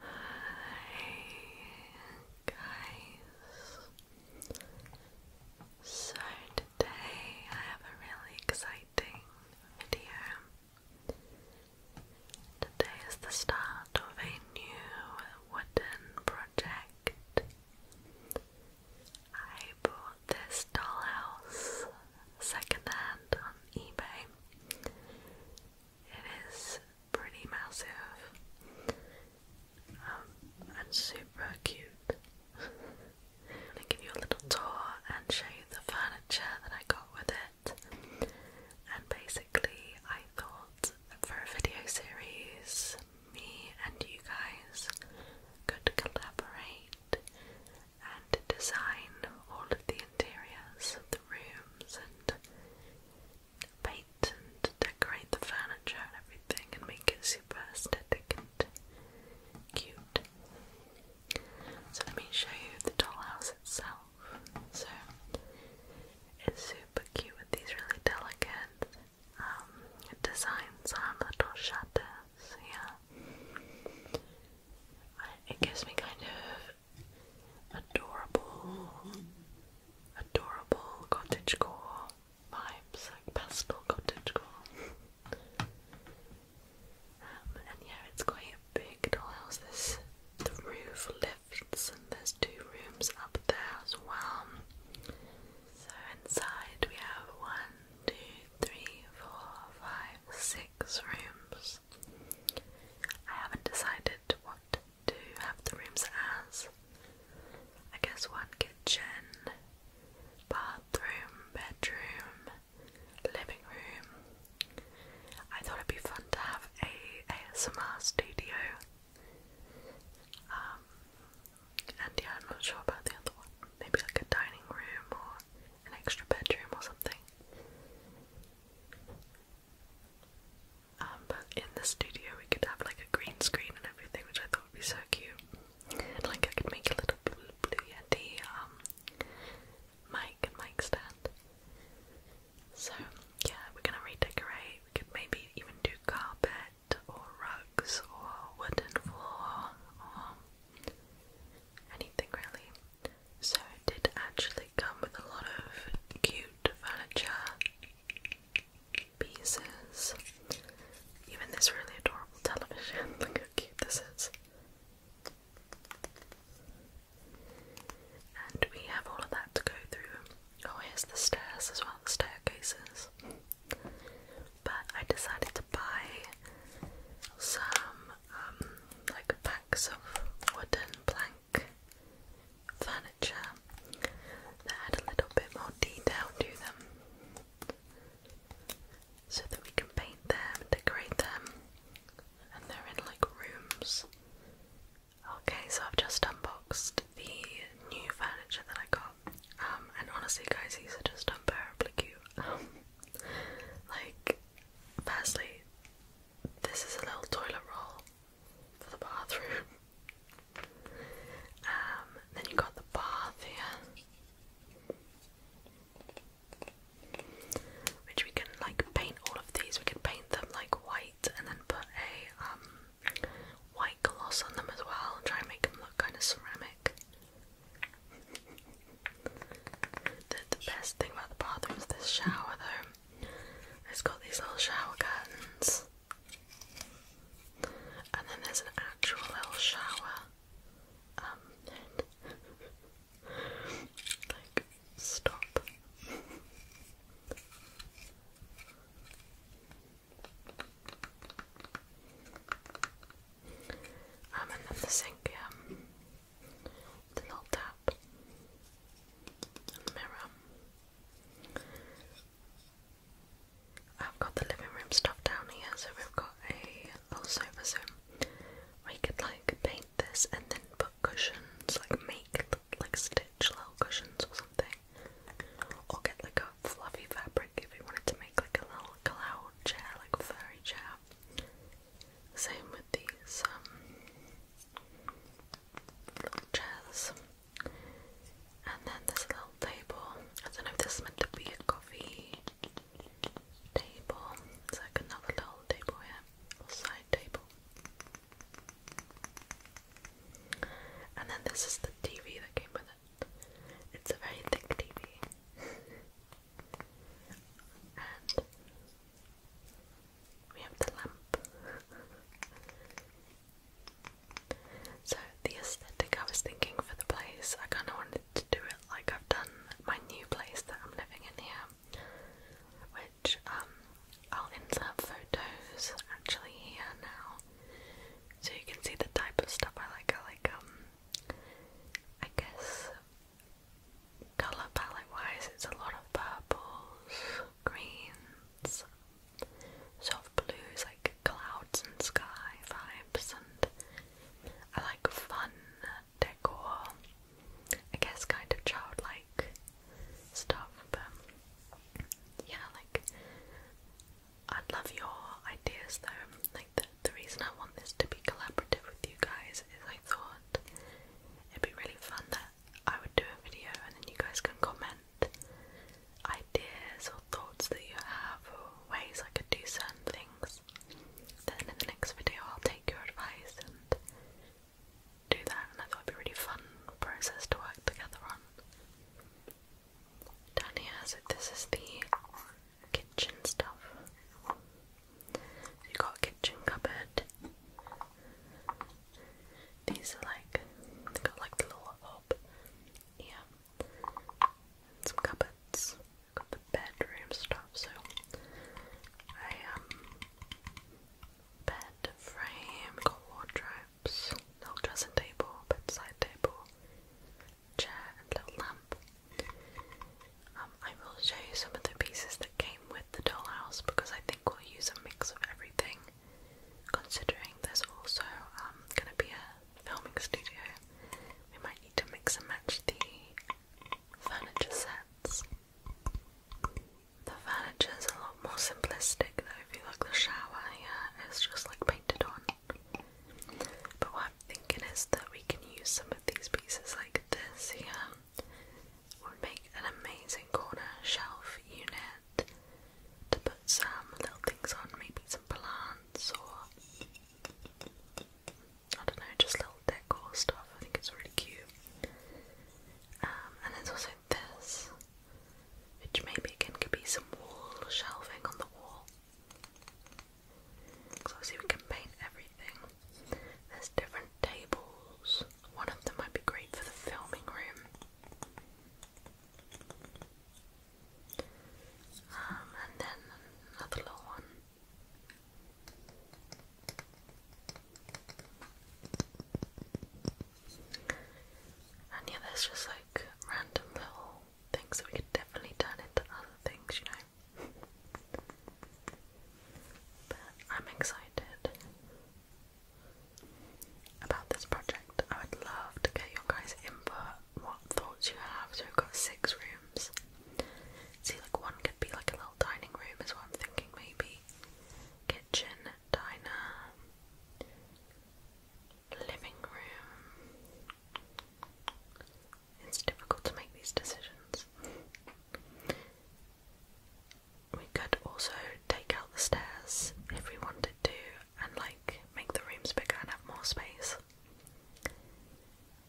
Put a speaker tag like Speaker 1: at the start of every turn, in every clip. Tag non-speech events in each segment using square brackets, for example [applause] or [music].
Speaker 1: Hi guys. So today I have a really exciting video. Today is the start of a new wooden project. I bought this dollhouse secondhand on eBay. It is pretty massive um, and super cute. I'm gonna give you a little tour and show you the furniture that I got with it. And basically, I thought that for a video series, me and you guys could collaborate and design all of the interiors the rooms and paint and decorate the furniture and everything and make it super aesthetic and cute. So let me show you the dollhouse itself. So it's super cute with these really delicate um, designs on little shutters, yeah. It gives me kind of adorable, adorable cottagecore vibes, like pastel cottagecore. um, and yeah, it's quite a big dollhouse. the roof lifts, and there's two rooms up there as well. So inside we have one, two, three, four, five, six rooms. I haven't decided what to have the rooms as. I guess one kitchen, bathroom, bedroom, living room. I thought it'd be fun to have a ASMR studio. Um, and yeah, I'm not sure about the other one. Maybe like a dining room or an extra bedroom or something. Um, but in the studio, we could have like a green screen and everything, which I thought would be so cute. like, I could make a little blue, Yeti um, mic and mic stand. So, yeah, we're gonna redecorate. We could maybe even do carpet or rugs or wooden floor or anything really. So it did actually come with a lot of cute furniture pieces. Even this really adorable television. [laughs] Look how cute this is. And we have all of that to go through. Oh, here's the stairs as well, the staircases. But I decided to buy some like packs of wooden plank furniture that had a little bit more detail to them so that we can paint them, decorate them, and they're in like rooms. Okay, so I've just unboxed the new furniture that I got. Um, and honestly, guys, these are just unbearably cute. [laughs] Like, firstly, this is a little toilet roll for the bathroom. Um, then you got the bath here, which we can like paint all of these. We can paint them like white and then put a um white gloss on them as well, try and make them look kind of ceramic the, best thing about the bathroom is this shower though. It's got these little shower curtains. And then there's an actual little shower. Um, [laughs] like stop. Um, and then the sink, um, the little tap, the mirror. I've got the living room stuff down here, so we've got a little sofa so we could like paint this and then put cushions, like make like stitch little cushions or something, or get like fluffy fabric if you wanted to make like a little cloud chair, like a furry chair. Same with these um, little chairs. And then this little table. I don't know if this meant to be a coffee table. It's like another little table here, or side table. And then this is the TV that came with it it's a very thick TV. and we have the lamp. so the aesthetic I was thinking for the place, I kinda wanted to do it like I've done my new place that I'm living in here. Which um, I'll insert photos actually here now so you can see the type of stuff I like. I like, um, I guess, color palette wise, it's a lot of purples, greens, soft blues, like clouds and sky vibes, and I like fun decor. I guess kind of childlike stuff, but yeah, like I'd love your ideas though. Like the, the reason I want this to be collaborative with you guys is I thought it'd be really fun that I would do a video and then you guys can comment ideas or thoughts that you have or ways I could do certain things. Then in the next video I'll take your advice and do that and I thought it'd be really fun process to work together on. Down here, so this is the kitchen stuff. you got kitchen cupboard. These are like got like the little Yeah. some cupboards. got the bedroom stuff, so I um bed frame, got wardrobe dressing table, bedside table, chair, and little lamp. Um, I will show you some of the pieces that came with the dollhouse because I think we'll use a mix of everything. Considering there's also um, going to be a filming studio, we might need to mix and match the furniture sets. The furniture is a lot more simplistic though, if you look the shower yeah, just like painted on. But what I'm thinking is that we can use some of these pieces like this here. would make an amazing corner shelf unit to put some little things on, maybe some plants or I don't know, just little decor stuff. I think it's really cute. Um, and there's also this which maybe can be some wall shelving on the wall. obviously we can paint everything. There's different tables. One of them might be great for the filming room. Um, and then another little one. And yeah, there's just like random little things that we could definitely turn into other things, you know. but I'm excited about this project. I would love to get your guys' input, what thoughts you have. So we've got six rooms. See, like one could be like a little dining room, is what I'm thinking, maybe. Kitchen, diner, living room. It's difficult to make these decisions. We could also take out the stairs if we wanted to and like make the rooms bigger and have more space.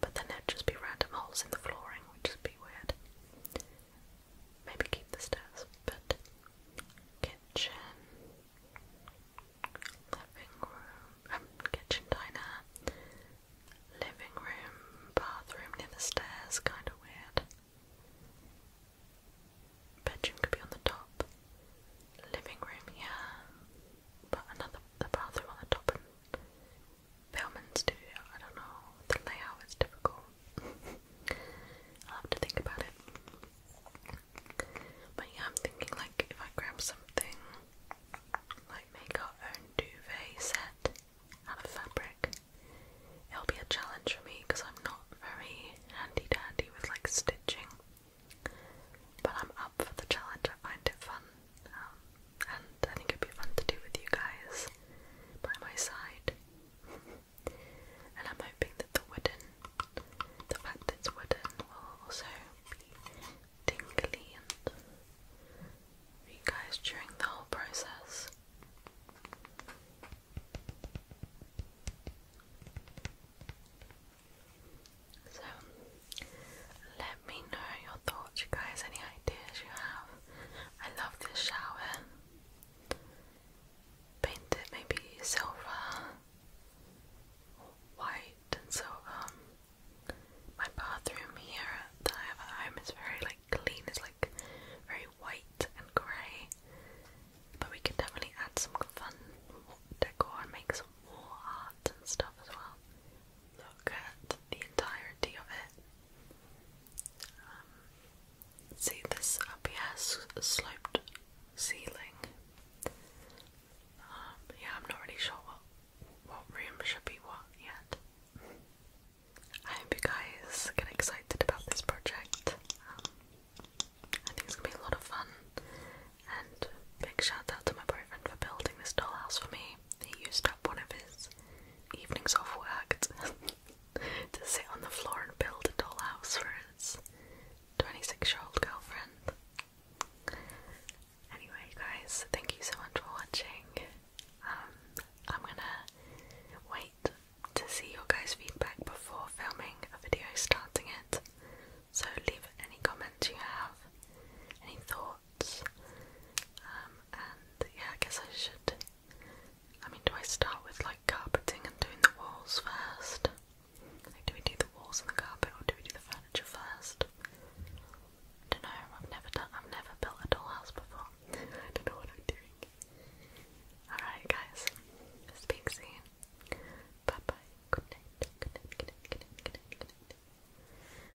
Speaker 1: But then there'd just be random holes in the flooring, which would be weird. Maybe keep the stairs, but kitchen, living room, um, kitchen diner, living room, bathroom near the stairs, kind of weird. Bedroom could be on the top, living room here, but another the bathroom on the top and studio. I don't know. The layout is difficult. I'll have to think about it. But yeah, I'm thinking like if I grab something like make our own duvet set out of fabric, it'll be a challenge for me because I'm not very handy dandy with like stitching. But I'm up for the challenge, I find it fun. Um, and I think it'd be fun to do with you guys by my side and I'm hoping that the wooden, the fact it's wooden, will also be tingly and for you during the whole process. So, let me know your thoughts, you guys, any ideas you have I love this shower. Painted maybe silver, white and silver. My bathroom here that I have at home is very like clean. It's like very white and grey. But we could definitely add some fun decor and make some wall art and stuff as well. Look at the entirety of it. Um, see this up sloped ceiling. Um, yeah, I'm not really sure what what room should be what yet. I hope you guys get excited about this project. Um, I think it's gonna be a lot of fun. And big shout out to my boyfriend for building this dollhouse for me. He used up one of his evenings off work [laughs] to, sit on the floor and build a dollhouse for his 26 year old girlfriend. Anyway, guys, thank you so much for watching. Um, I'm gonna wait to see your guys' feedback before filming a video starting it. So leave any comments you have, any thoughts. Um, and yeah, I guess I should. I mean, do I start with like carpeting and doing the walls first? Like, do we do the walls and the carpet, or do we do the furniture first? I don't know. I've never done. I've never built a dollhouse before. [laughs] I don't know what I'm doing. All right, guys. Speak soon. Bye bye. Good night.